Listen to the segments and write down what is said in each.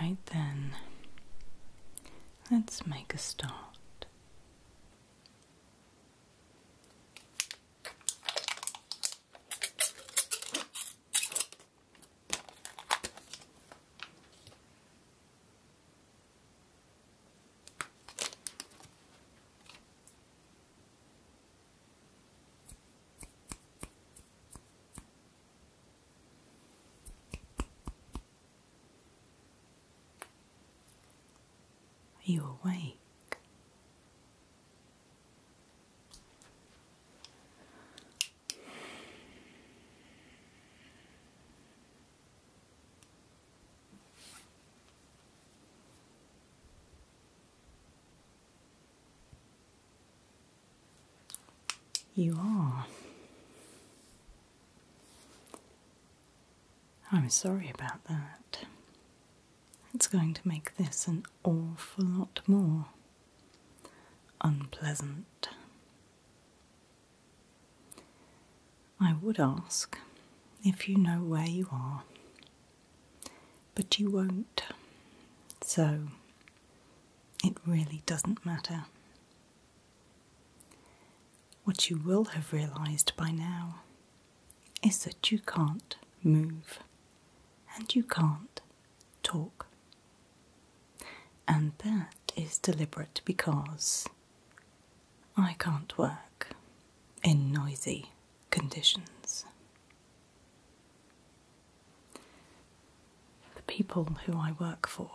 Right then, let's make a start. Are you awake? You are. I'm sorry about that. It's going to make this an awful lot more unpleasant. I would ask if you know where you are, but you won't. So it really doesn't matter. What you will have realised by now is that you can't move and you can't talk. And that is deliberate because I can't work in noisy conditions. The people who I work for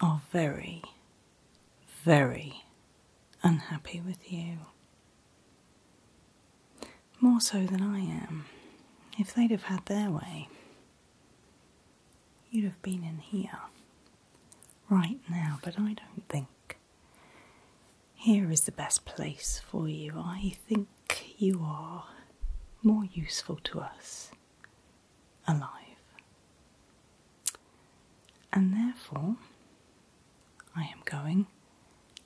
are very, very unhappy with you. More so than I am. If they'd have had their way, you'd have been in here right now, but I don't think here is the best place for you. I think you are more useful to us alive. And therefore, I am going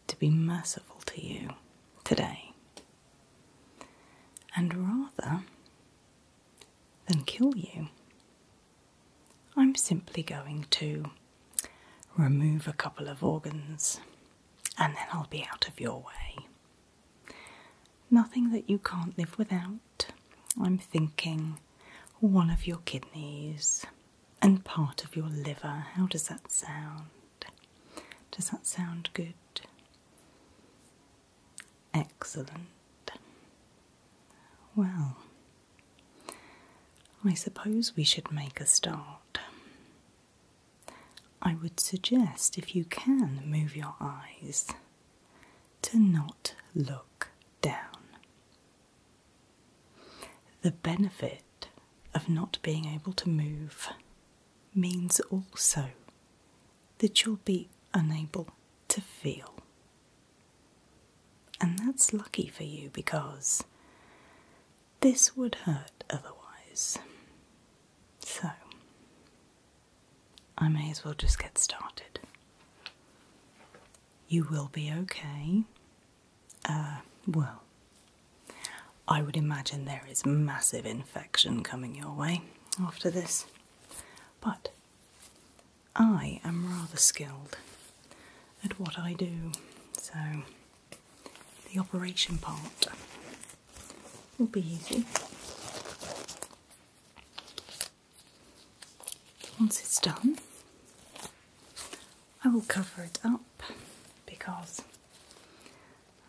to be merciful to you today. And rather than kill you, I'm simply going to remove a couple of organs and then I'll be out of your way. Nothing that you can't live without. I'm thinking one of your kidneys and part of your liver. How does that sound? Does that sound good? Excellent. Well, I suppose we should make a start. I would suggest, if you can move your eyes, to not look down. The benefit of not being able to move means also that you'll be unable to feel. And that's lucky for you because this would hurt otherwise. So, I may as well just get started. You will be okay. Uh, well, I would imagine there is massive infection coming your way after this, but I am rather skilled at what I do, so the operation part will be easy. Once it's done, I will cover it up because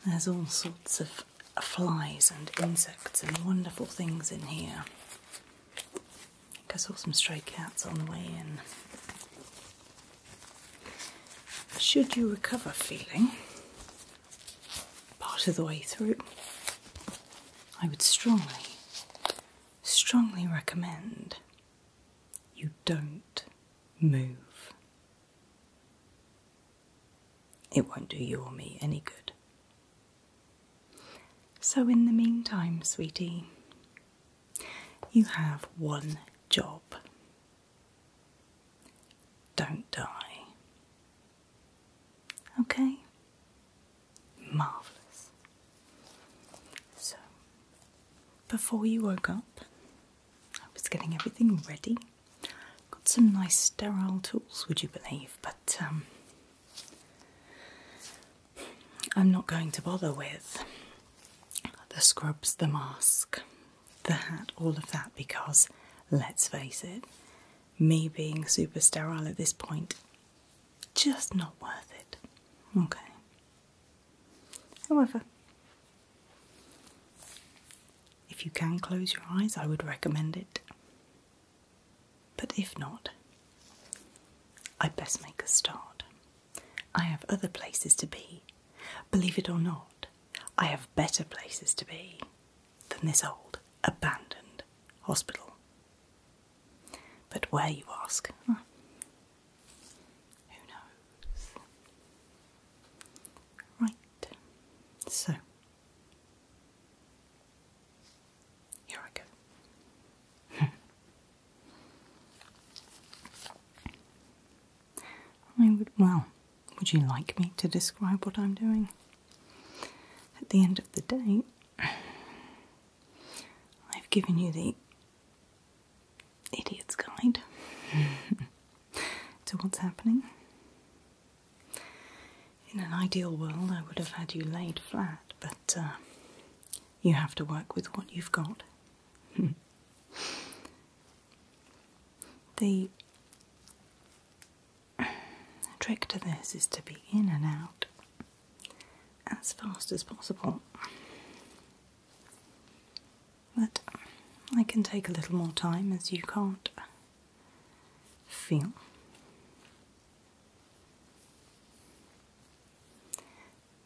there's all sorts of flies and insects and wonderful things in here. I think I saw some stray cats on the way in. Should you recover feeling part of the way through, I would strongly, strongly recommend you don't move. It won't do you or me any good. So, in the meantime, sweetie, you have one job don't die. Okay? Marvellous. So, before you woke up, I was getting everything ready. Got some nice sterile tools, would you believe? But, um, I'm not going to bother with the scrubs, the mask, the hat, all of that, because let's face it, me being super sterile at this point, just not worth it. Okay. However, if you can close your eyes, I would recommend it. But if not, I'd best make a start. I have other places to be, believe it or not. I have better places to be than this old, abandoned hospital. But where, you ask? Who knows? Right, so here I go. I would, well, would you like me to describe what I'm doing? At the end of the day, I've given you the idiot's guide to what's happening. In an ideal world, I would have had you laid flat, but uh, you have to work with what you've got. The trick to this is to be in and out as fast as possible. But I can take a little more time as you can't feel.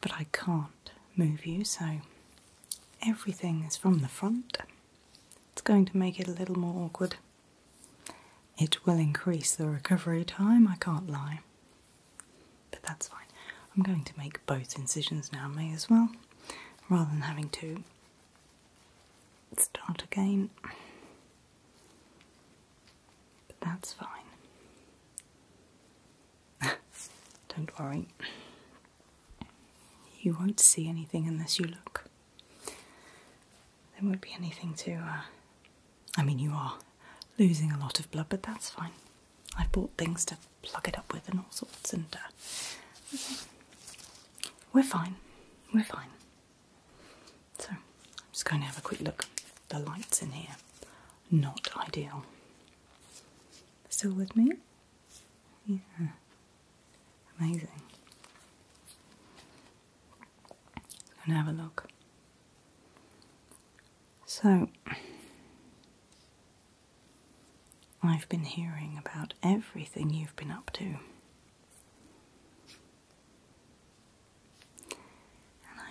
But I can't move you, so everything is from the front it's going to make it a little more awkward. It will increase the recovery time, I can't lie. But that's fine. I'm going to make both incisions now, may as well, rather than having to start again. But that's fine. Don't worry. You won't see anything unless you look. There won't be anything to. Uh, I mean, you are losing a lot of blood, but that's fine. I've bought things to plug it up with and all sorts, and uh, we're fine. We're fine. So, I'm just going to have a quick look. The lights in here, not ideal. Still with me? These amazing. go and have a look. So, I've been hearing about everything you've been up to. And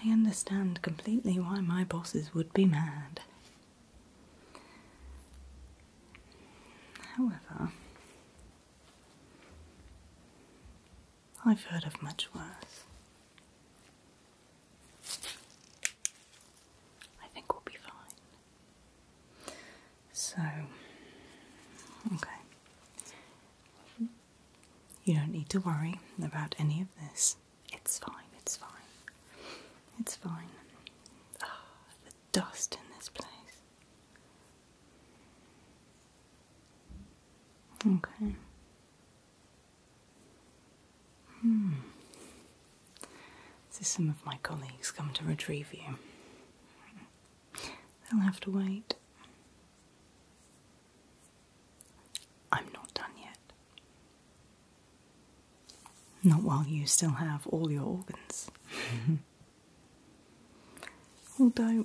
I understand completely why my bosses would be mad. However, I've heard of much worse. I think we'll be fine. So, okay. You don't need to worry about any of this. It's fine, it's fine. It's fine. Ah, dust in this place. Okay. Hmm. So some of my colleagues come to retrieve you. They'll have to wait. I'm not done yet. Not while you still have all your organs. Although,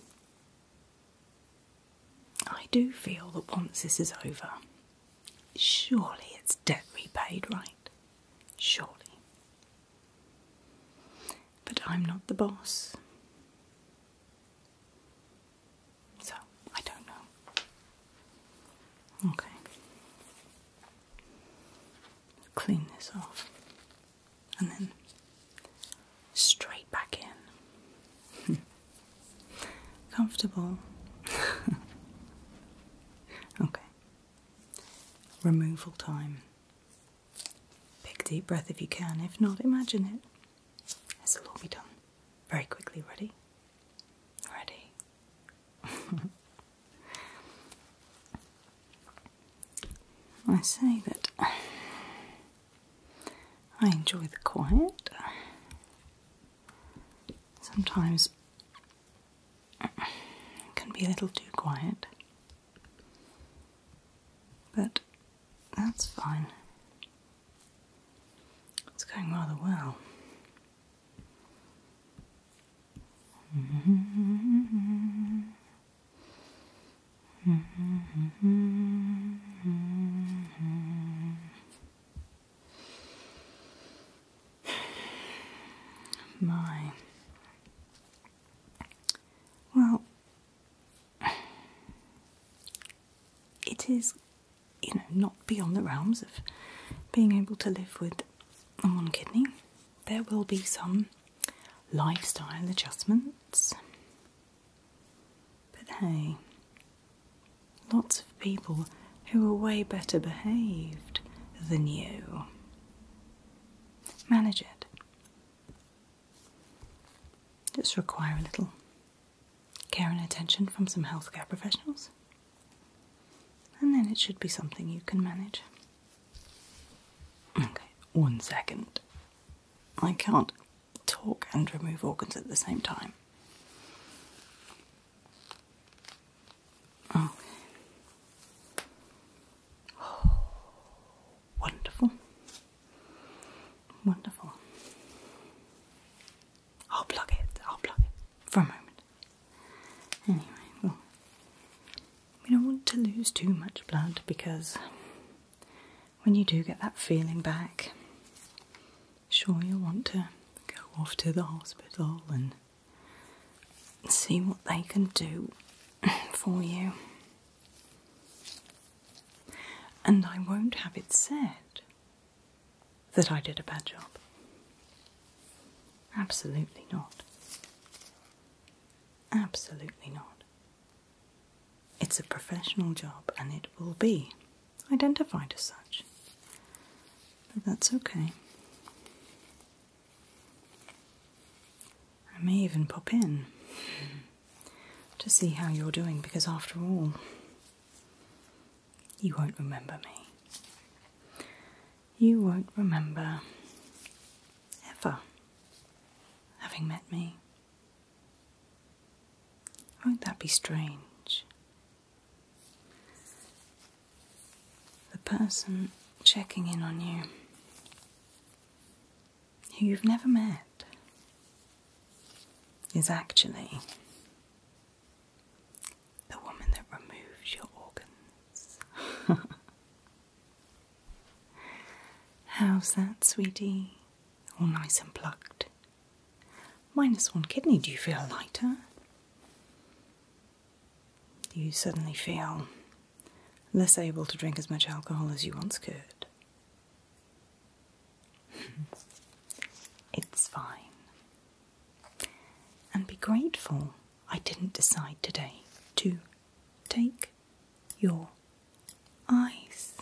I do feel that once this is over, surely it's debt repaid, right? Surely. But I'm not the boss. So, I don't know. Okay. Clean this off and then straight back in. Comfortable. okay. Removal time. Take a deep breath if you can. If not, imagine it. It's all be done very quickly. Ready? Ready. I say that I enjoy the quiet. Sometimes it can be a little too quiet, but that's fine. It's going rather well. My. Well, it is, you know, not beyond the realms of being able to live with one kidney there will be some lifestyle adjustments. But hey, lots of people who are way better behaved than you. Manage it. Just require a little care and attention from some healthcare professionals, and then it should be something you can manage. Okay, one second. I can't talk and remove organs at the same time. Okay. Oh. wonderful. Wonderful. I'll plug it. I'll plug it for a moment. Anyway, we don't want to lose too much blood because when you do get that feeling back, sure you'll want to go off to the hospital and see what they can do for you. And I won't have it said that I did a bad job. Absolutely not. Absolutely not. It's a professional job and it will be identified as such. But that's okay. I may even pop in to see how you're doing because, after all, you won't remember me you won't remember ever having met me. Won't that be strange? The person checking in on you, who you've never met, is actually the woman that removed your organs. How's that, sweetie? All nice and plucked. Minus one kidney, do you feel lighter? Do you suddenly feel less able to drink as much alcohol as you once could? it's fine. And be grateful I didn't decide today to take your eyes.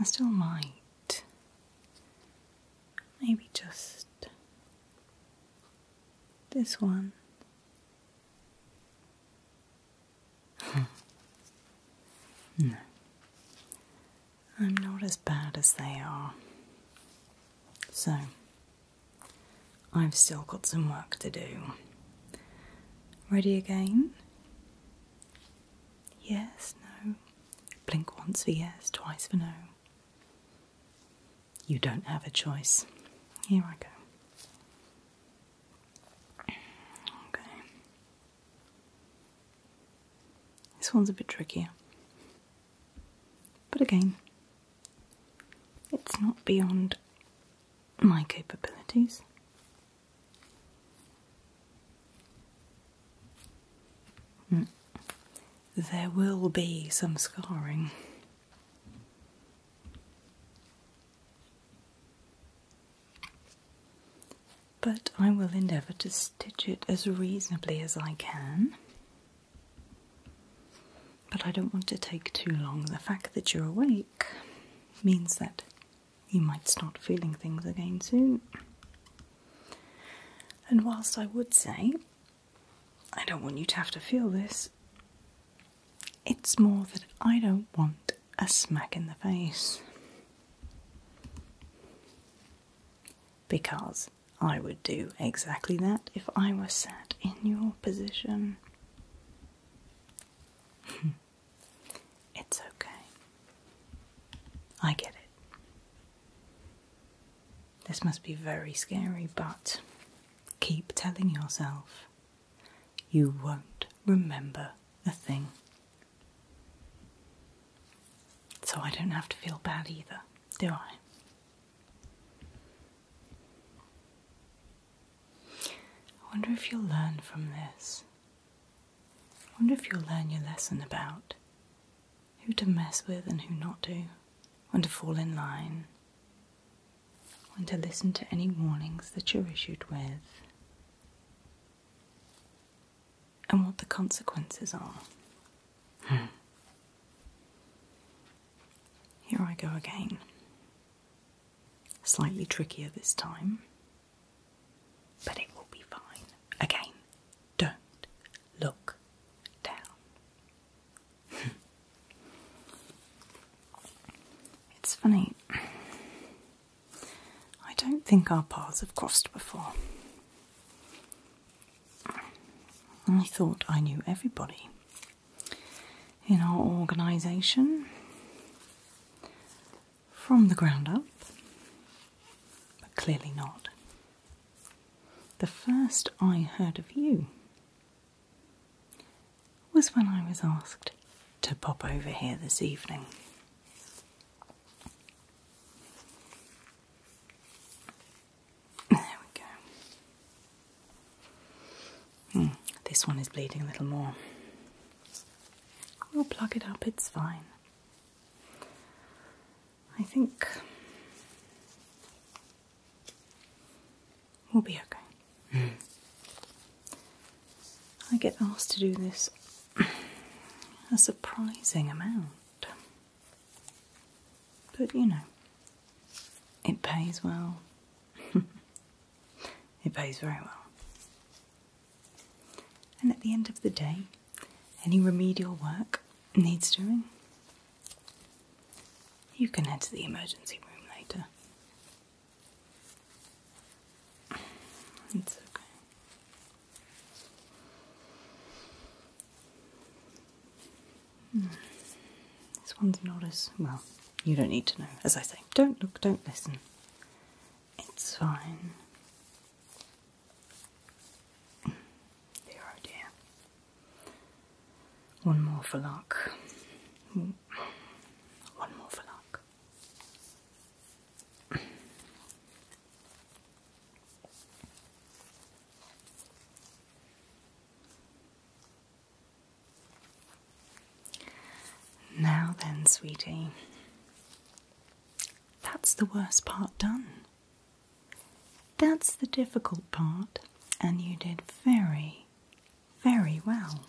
I still might. Maybe just this one. Hmm. no. I'm not as bad as they are. So, I've still got some work to do. Ready again? Yes, no. Blink once for yes, twice for no. You don't have a choice. Here I go. Okay. This one's a bit trickier. But again, it's not beyond my capabilities. Hmm. There will be some scarring. But I will endeavour to stitch it as reasonably as I can but I don't want to take too long. The fact that you're awake means that you might start feeling things again soon. And whilst I would say, I don't want you to have to feel this, it's more that I don't want a smack in the face. Because I would do exactly that if I were sat in your position. it's okay. I get it. This must be very scary, but keep telling yourself you won't remember a thing. So I don't have to feel bad either do I? I wonder if you'll learn from this. I wonder if you'll learn your lesson about who to mess with and who not to, when to fall in line, when to listen to any warnings that you're issued with, and what the consequences are. Hmm. Here I go again. Slightly trickier this time, but it will be fine. Again, don't look down. it's funny, I don't think our paths have crossed before. I thought I knew everybody in our organisation from the ground up, but clearly not. The first I heard of you was when I was asked to pop over here this evening. There we go. Hmm, this one is bleeding a little more. We'll plug it up, it's fine. I think we'll be okay. Hmm. I get asked to do this a surprising amount. But you know, it pays well. it pays very well. And at the end of the day, any remedial work needs doing. You can head to the emergency room later. It's okay. Hmm. This one's not as well, you don't need to know. As I say, don't look, don't listen. It's fine. Dear oh One more for luck. One more for luck. Now then, sweetie, that's the worst part done. That's the difficult part, and you did very, very well.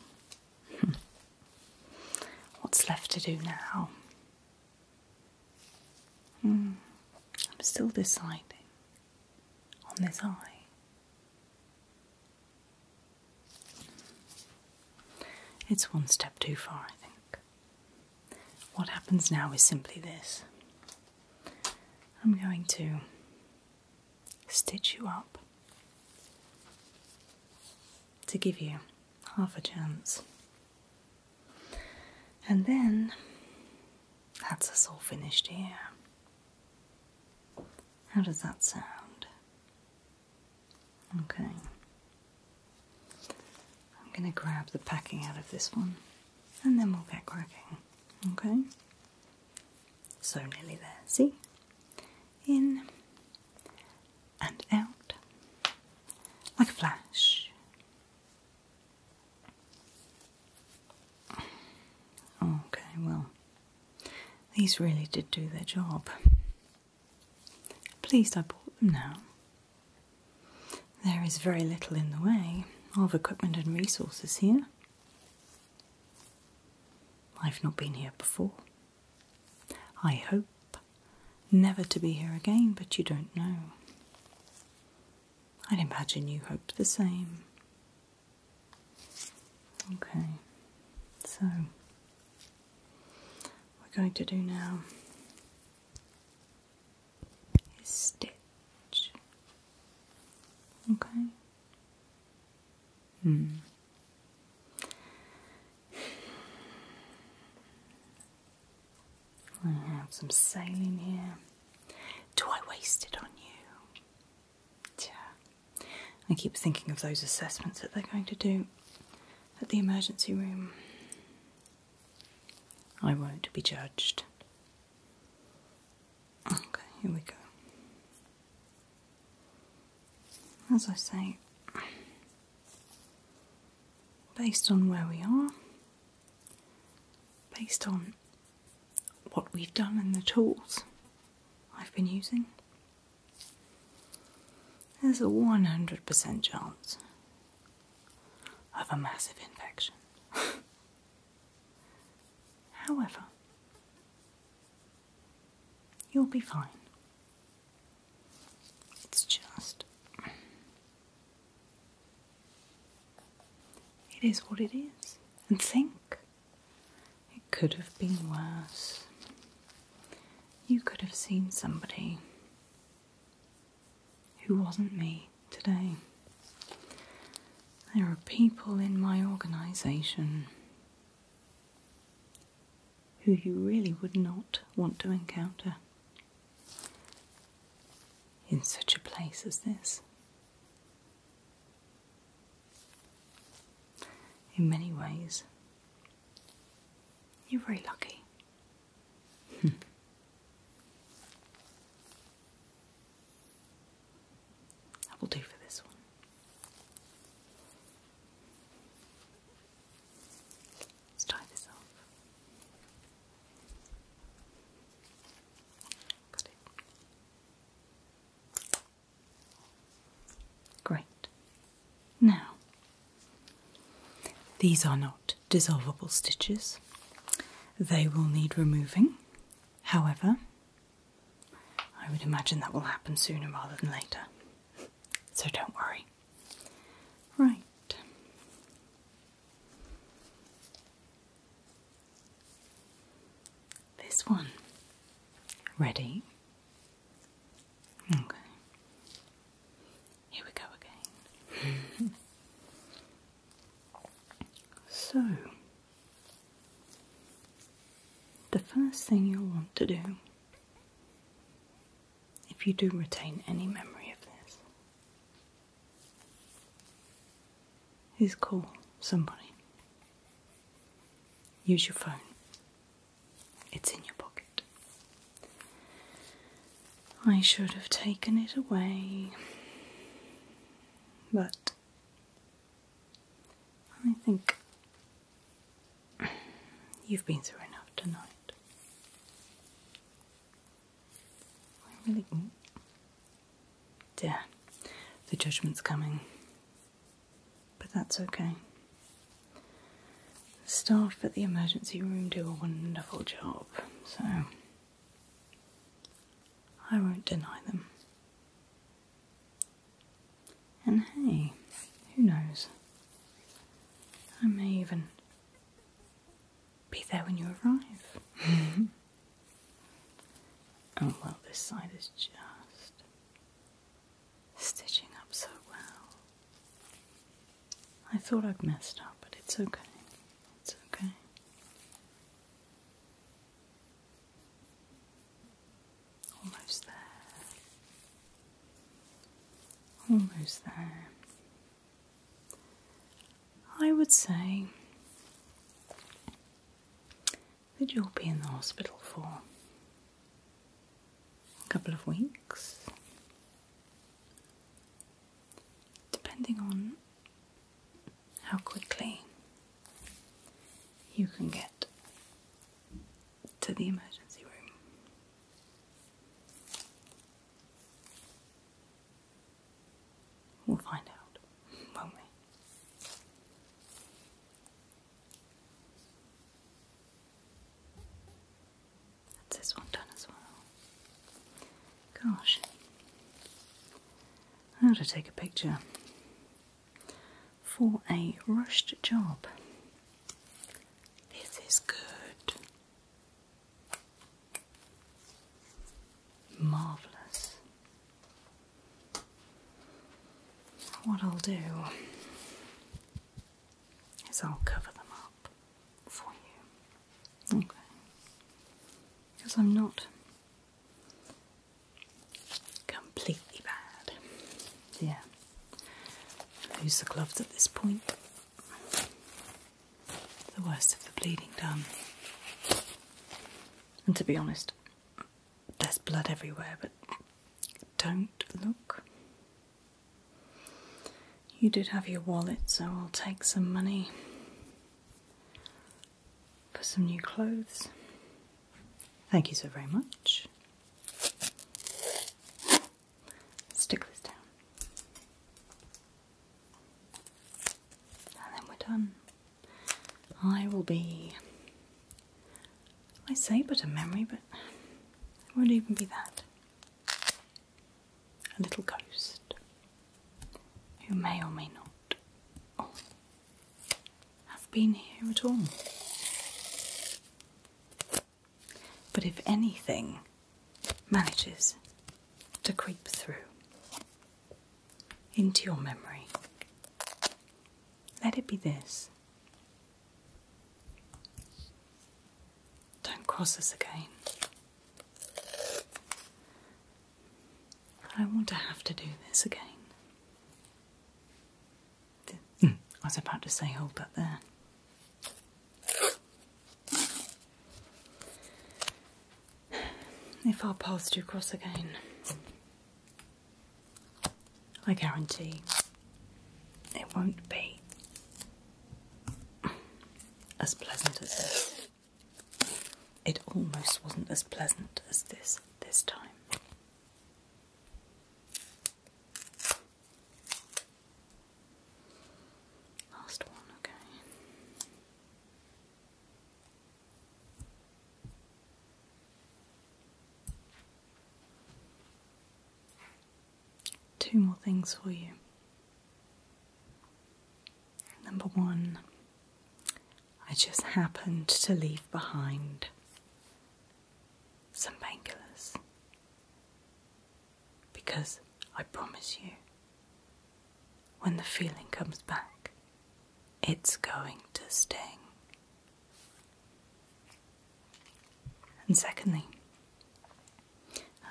What's left to do now Hmm. I'm still deciding on this eye. It's one step too far, I think. What happens now is simply this I'm going to stitch you up to give you half a chance and then that's us all finished here. How does that sound? Okay. I'm going to grab the packing out of this one and then we'll get cracking. Okay? So nearly there. See? In and out. Like a flash. Okay, well, these really did do their job. Pleased I bought them now. There is very little in the way of equipment and resources here. I've not been here before. I hope never to be here again, but you don't know. I'd imagine you hope the same. Okay, so we're going to do now is stitch. Okay. Hmm. I have some sailing here. Do I waste it on you? I keep thinking of those assessments that they're going to do at the emergency room. I won't be judged. Okay, here we go. As I say, based on where we are, based on what we've done and the tools I've been using. There's a 100% chance of a massive infection. However, you'll be fine. It's just it is what it is. And think, it could have been worse. You could have seen somebody who wasn't me today. There are people in my organisation who you really would not want to encounter in such a place as this. In many ways, you're very lucky. that hmm. will do for this one. Let's tie this off. Great. Now, these are not dissolvable stitches. They will need removing. However, I would imagine that will happen sooner rather than later. So don't worry. Right. This one. Ready? Okay. Here we go again. so, the first thing you'll want to do, if you do retain any memory of this, is call somebody. Use your phone. It's in your pocket. I should have taken it away, but I think you've been through enough tonight. I really. Mm. Dear, the judgment's coming. But that's okay. staff at the emergency room do a wonderful job, so I won't deny them. And hey, who knows? I may even be there when you arrive. oh well, this side is just stitching up so well. I thought I'd messed up, but it's okay. It's okay. Almost there. Almost there. I would say that you'll be in the hospital for a couple of weeks, depending on how quickly you can get to the emergency room. We'll find out, won't we? That's this one done as well. Gosh. How to take a picture for a rushed job. This is good. Marvellous. What I'll do is I'll cover them up for you. Okay. Because I'm not completely bad. Yeah. Use the gloves at this point the worst of the bleeding done. And to be honest, there's blood everywhere, but don't look. You did have your wallet, so I'll take some money for some new clothes. Thank you so very much. Stick this down. And then we're done. I will be. I say but a memory, but it won't even be that. A little ghost who may or may not oh, have been here at all. But if anything manages to creep through into your memory. Let it be this. Don't cross us again. I don't want to have to do this again. Hmm, I was about to say, hold that there if our paths do cross again, I guarantee it won't be as pleasant as this. It almost wasn't as pleasant as this this time. Last one, okay. Two more things for you. Number one, I just happened to leave behind some bankers, because I promise you when the feeling comes back, it's going to sting. And secondly,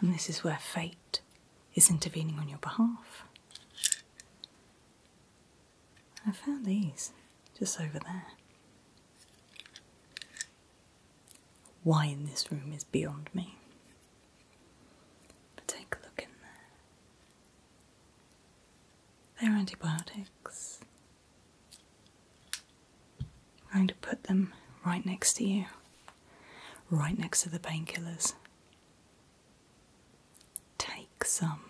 and this is where fate is intervening on your behalf. I found these just over there. Why in this room is beyond me. But take a look in there. They're antibiotics. I'm going to put them right next to you, right next to the painkillers. Take some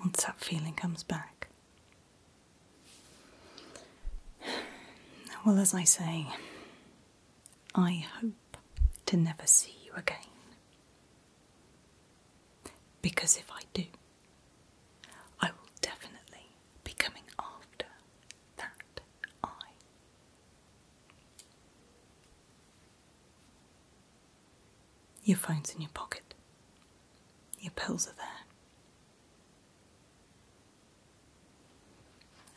once that feeling comes back. Well, as I say, I hope to never see you again. Because if I do, I will definitely be coming after that eye. Your phone's in your pocket, your pills are there.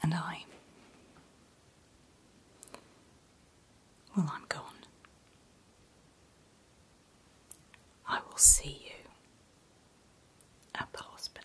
And I. Well, I'm gone. I will see you at the hospital.